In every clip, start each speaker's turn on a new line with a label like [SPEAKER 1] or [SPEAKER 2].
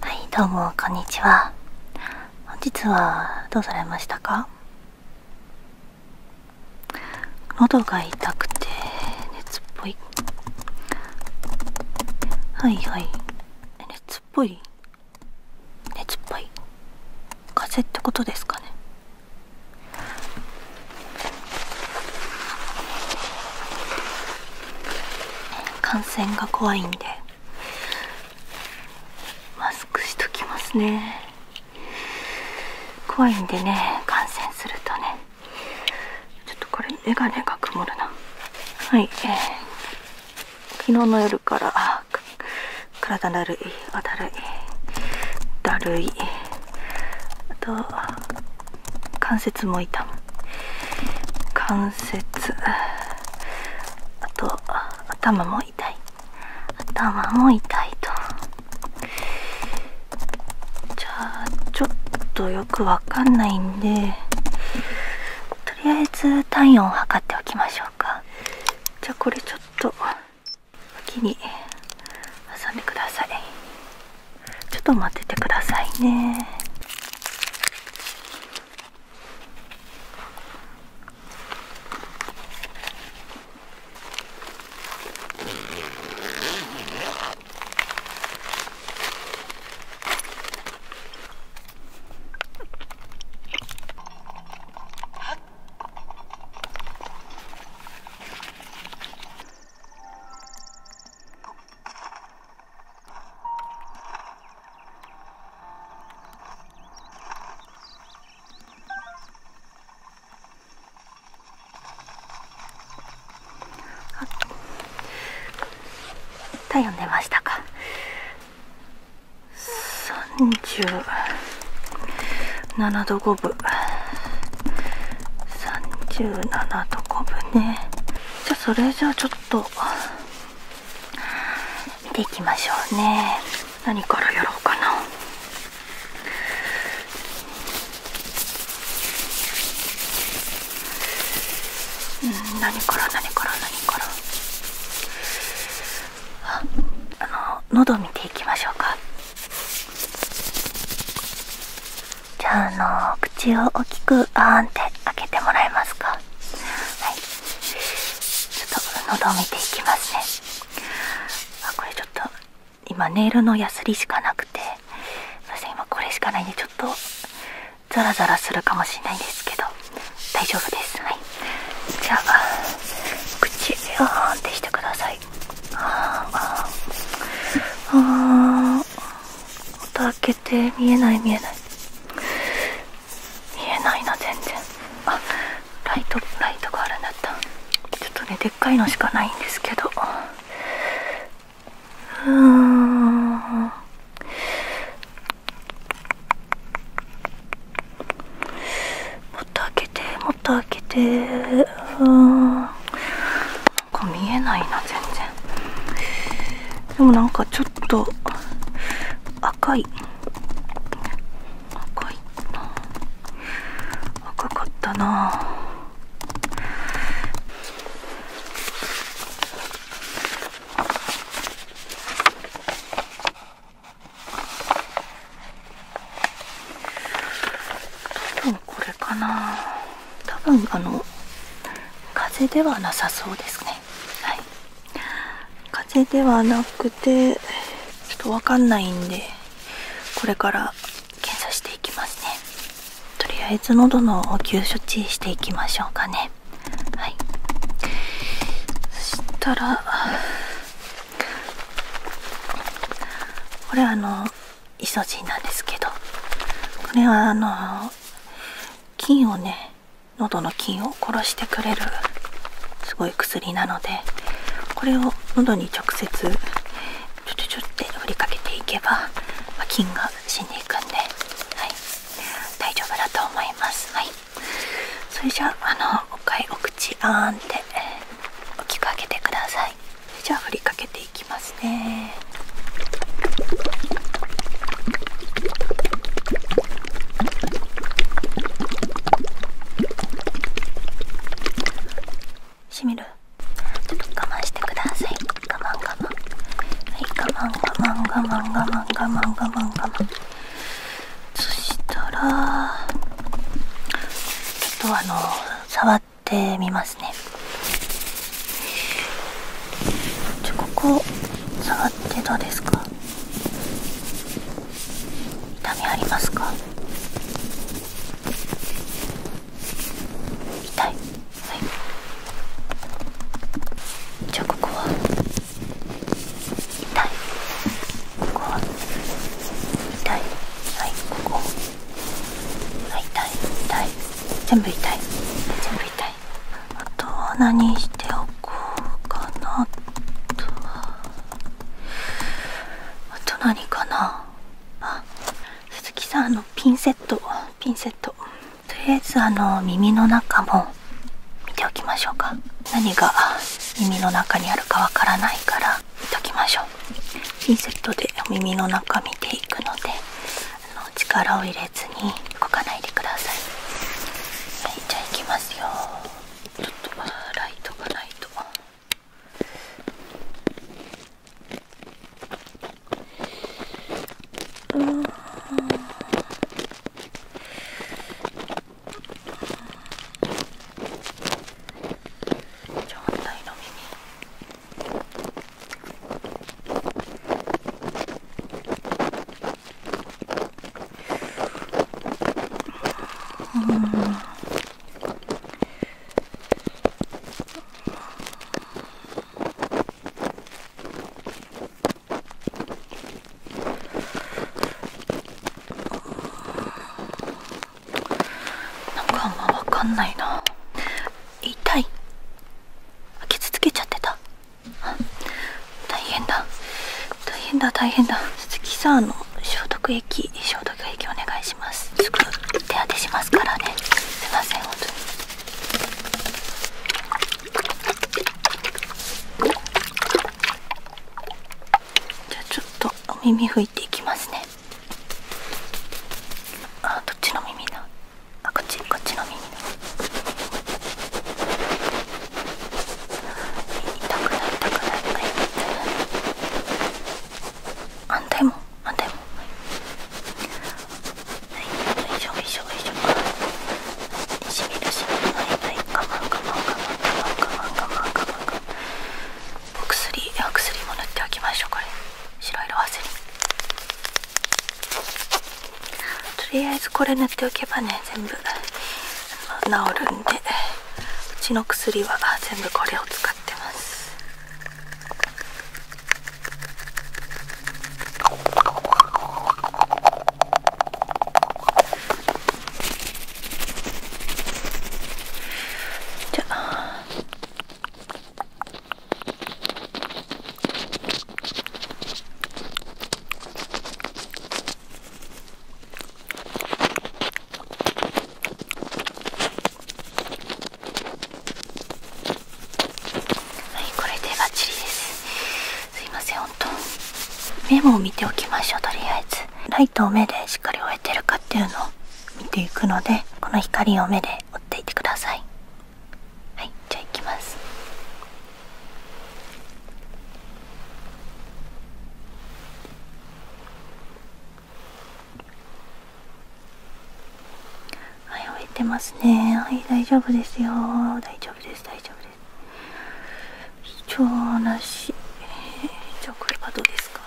[SPEAKER 1] はいどうもこんにちは本日はどうされましたか喉が痛くて熱っぽいはいはい熱っぽい熱っぽい風邪ってことですかね感染が怖いんでマスクしときますね怖いんでね感染するとねちょっとこれ眼鏡が曇るなはい、えー、昨日の夜から体だるいあだるいだるいあと関節も痛む関節あと頭も痛い頭も痛いとじゃあちょっとよくわかんないんでとりあえず体温を測っておきましょうかじゃあこれちょっと。脇に挟んでくださいちょっと待っててくださいねあ、あ、あ。体温出ましたか30。7度5分37度5分ねじゃあそれじゃあちょっと見ていきましょうね何からやろうかなうん何から何から何からあの喉見ていきましょうかじゃああの口を大きくバーンって開けてもらえますかはいちょっと喉を見ていきますねあこれちょっと今ネイルのヤスリしかなくてすいません。今これしかないんでちょっとザラザラするかもしれないんですけど大丈夫ですはいじゃあ口をーンってしてくさいああああー音開けて見えない見えない見えないな全然あっ、ライトライトがあるんだったちょっとねでっかいのしかないんですけどうーんもっと開けてもっと開けてうんなんか見えないな全然でもなんかちょっと赤い赤いな赤かったなあとはこれかな多分あの風邪ではなさそうですねはい風邪ではなくてちょっとわかんないんでこれから検査していきますねとりあえず喉の応給処置していきましょうかねはいそしたらこれあのイソジンなんですけどこれはあの菌をね喉の菌を殺してくれるすごい薬なのでこれを喉に直接ちょちょちょって振りかけていけば、ま菌が死んでいくんで、はい、大丈夫だと思います。はいそれじゃあのおかいお口あーんって大きく開けてくださいじゃあ振りかけていきますねしみるちょっと我慢してください我慢我慢はい我慢我慢我慢我慢我慢我慢我慢そしたらちょっとあの触ってみますねじゃここ触ってどうですか痛みありますか痛いはいじゃあここは痛いここ痛いはいここ痛い痛い全部痛い全部痛いあとは何しておこうかなあとはあと何かなあ鈴木さんのピンセットピンセットとりあえずあの耳の中もも見ておきましょうか何が耳の中にあるかわからないから見ときましょうピンセットで耳の中見ていくのであの力を入れずに動かないでくださいはいじゃあいきますよちょっとライトがないとうんちょうどうんなんかあんま分かんないな痛い傷つけちゃってた大変だ大変だ大変だ鈴木さんの消毒液消毒液お願いしますすぐ手当てしますからねすいません本当にじゃあちょっとお耳拭いていきますねあどっちの耳な。あこっちこっちの耳な。痛くない痛くないはい反対も反対もはい、はい、よいしょよいしょよいい、ょしみるしみるバイバイ我慢、我慢、我慢、我慢、我慢、我慢、我慢、我慢。マンガマンガマンお薬いや薬も塗っておきましょうこれ白色ワセリンとりあえずこれ塗っておけばね全部治るんでうちの薬は全部これを使ってますじゃあはいこれでバッチリですすいません本当メモを見ておきましょうとりあえずライトを目でしっかり追えてるかっていうのを見ていくのでこの光を目で追っていてくださいはいじゃあいきますはい、置いてますね。はい、大丈夫ですよ。大丈夫です。大丈夫です。貴重なし、じゃあこれはどうですか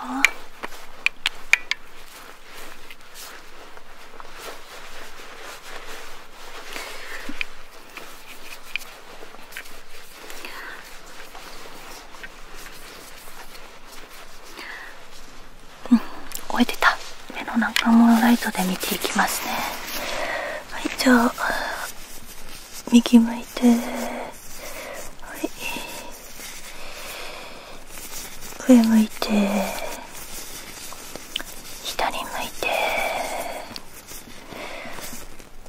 [SPEAKER 1] うん終えてた目の中もライトで見ていきますねはいじゃあ右向いてはい上向いて下に向いて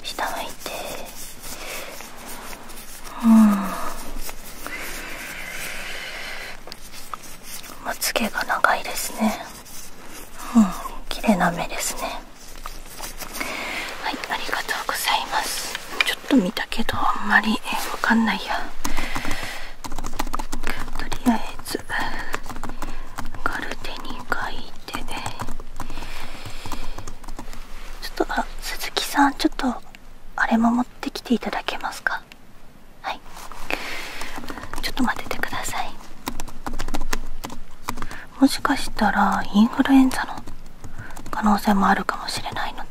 [SPEAKER 1] 下向いてうんまつ毛が長いですねうん綺麗な目ですねはいありがとうございますちょっと見たけどあんまりわかんないやとりあえずガルテに書いてちょっとあ鈴木さんちょっとあれも持ってきていただけますかはいちょっと待っててくださいもしかしたらインフルエンザの可能性もあるかもしれないので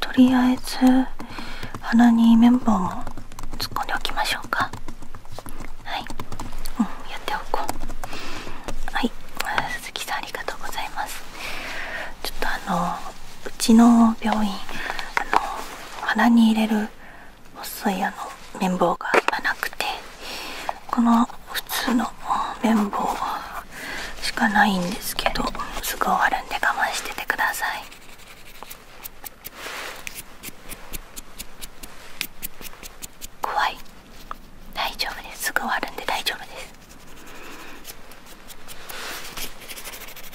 [SPEAKER 1] とりあえず鼻に綿棒も突っ込んでおきましょうかはい、うん、やっておこうはい鈴木さんありがとうございますちょっとあのうちの病院あの鼻に入れる細いあの綿棒がなくてこの普通の綿棒しかないんですけどすぐ終わるんで我慢しててください怖い大丈夫ですすぐ終わるんで大丈夫です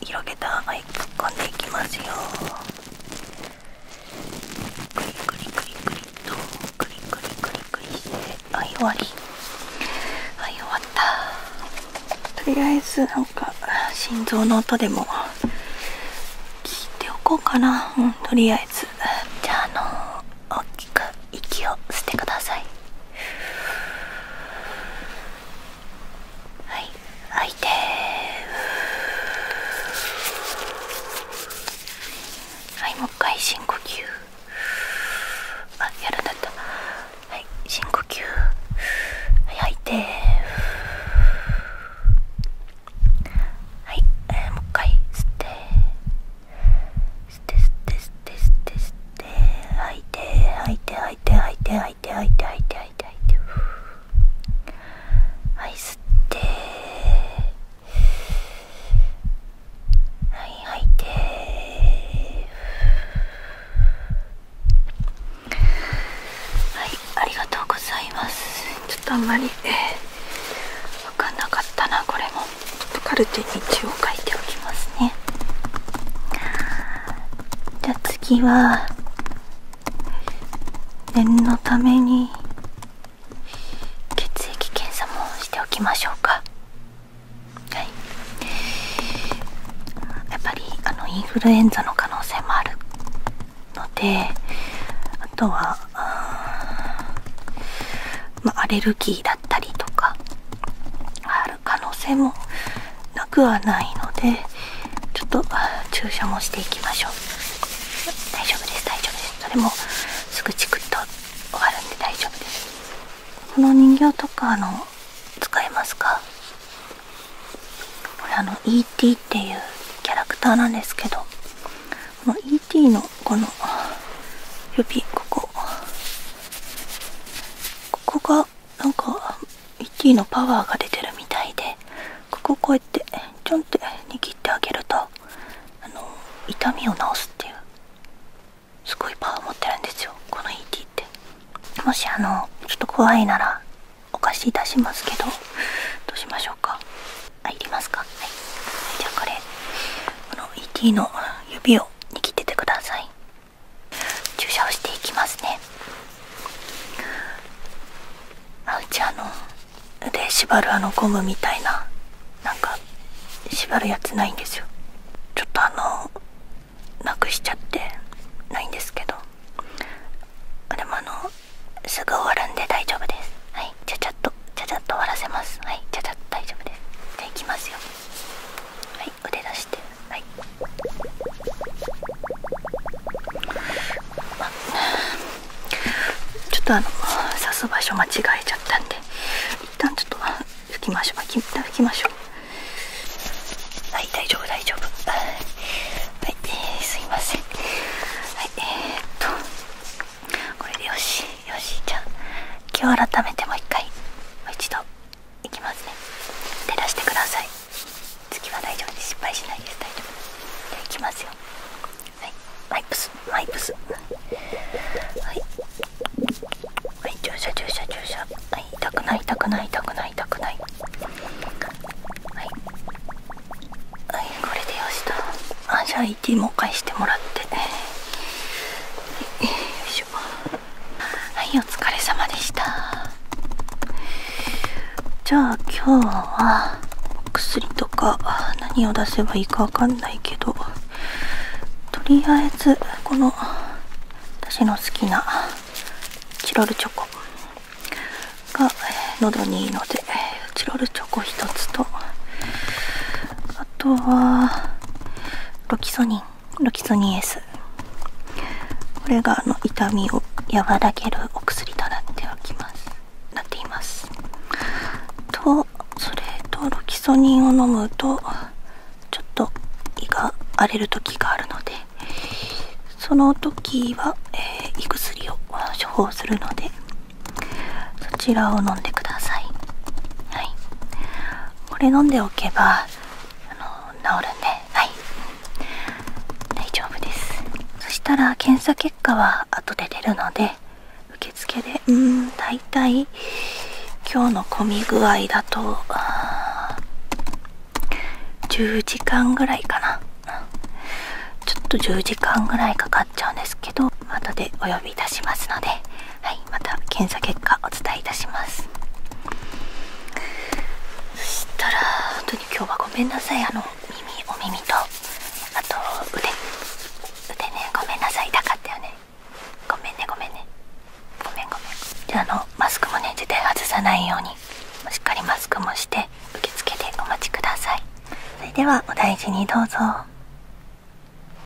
[SPEAKER 1] 広げた穴に突っでいきますよとはい終わりったとりあえずなんか心臓の音でも聞いておこうかなとりあえずじゃああの大きく息を吸ってくださいはい吐いてはいもう一回深呼吸あやらなかったはい深呼吸はい吐いてはい、えー、もう一回吸って吸って吸って吸って吸って吸って吐いて吐いて吐いて吐いて吐いて吐いて吐いてはい吸ってはい吐いてはいありがとうございますちょっとあんまり、え分かんなかったなこれもちょっとカルテに一応書いておきますねじゃあ次は念のために血液検査もしておきましょうかやっぱりあのインフルエンザの可能性もあるのであとはまアレルギーだったりとかア可能性もなくはないのでちょっと注射もしていきましょう大丈夫です大丈夫ですそれもすぐチクッと終わるんで大丈夫ですこの人形とかあの使えますかこれあの E.T. っていうキャラクターなんですけどこの E.T. のこの指ここここがなんかミッキーのパワーが出てるみたいでこここうやってちょんって握ってあげるとあの痛みを治すっていうすごいパワーを持ってるんですよこの ET ってもしあのちょっと怖いならお貸しいたしますけどどうしましょうか入りますかはいじゃあこれこの ET の指を
[SPEAKER 2] 握っててくだ
[SPEAKER 1] さい注射をしていきますねあうちあの腕縛るあのゴムみたいななんか縛るやつないんですよちょっとあのなくしちゃってないんですけどでもあのすぐ終わるんで大丈夫ですはいちゃちゃっとちゃちゃっと終わらせますはいちゃちゃっと大丈夫ですじゃあいきますよはいい腕出してはいちょっとあの刺す場所間違えちゃったんで一旦ちょっと拭きましょう拭きましょうはい大丈夫大丈夫はい、えー、すいませんはいえっとこれでよしよしじゃあ今日改めてもう一回もう一度いきますね照らしてください次は大丈夫です失敗しないです大丈夫でいきますよはいワイプスワイプスはい注射注射注射は痛くない痛くない痛くない痛くないはいはいこれでよしとあじゃあ ET も返してもらって、ね。はいお疲れ様でしたじゃあ今日は薬とか何を出せばいいかわかんないけどとりあえずこの私の好きなチロルチョコが喉にいいのでチロルチョコ1つとあとはロキソニンロキソニン S これがあの痛みを和らげるお薬となっておきますなっていますとそれとロキソニンを飲むとちょっと胃が荒れる時があるのでその時は、え胃薬を処方するのでそちらを飲んでくださいはいこれ飲んでおけばあの治るんはい大丈夫ですそしたら検査結果は後で出るので受付でうん大体今日の混み具合だと10時間ぐらいかなちょっと10時間ぐらいかかっちゃうんですけど後でお呼びいたしますのではいまた検査結果お伝えいたしますそしたら本当に今日はごめんなさいあの耳お耳とあと腕腕ねごめんなさい痛かったよねごめんねごめんねごめんごめんじゃあのマスクもね絶対外さないようにしっかりマスクもして受付でお待ちくださいそれではお大事にどうぞ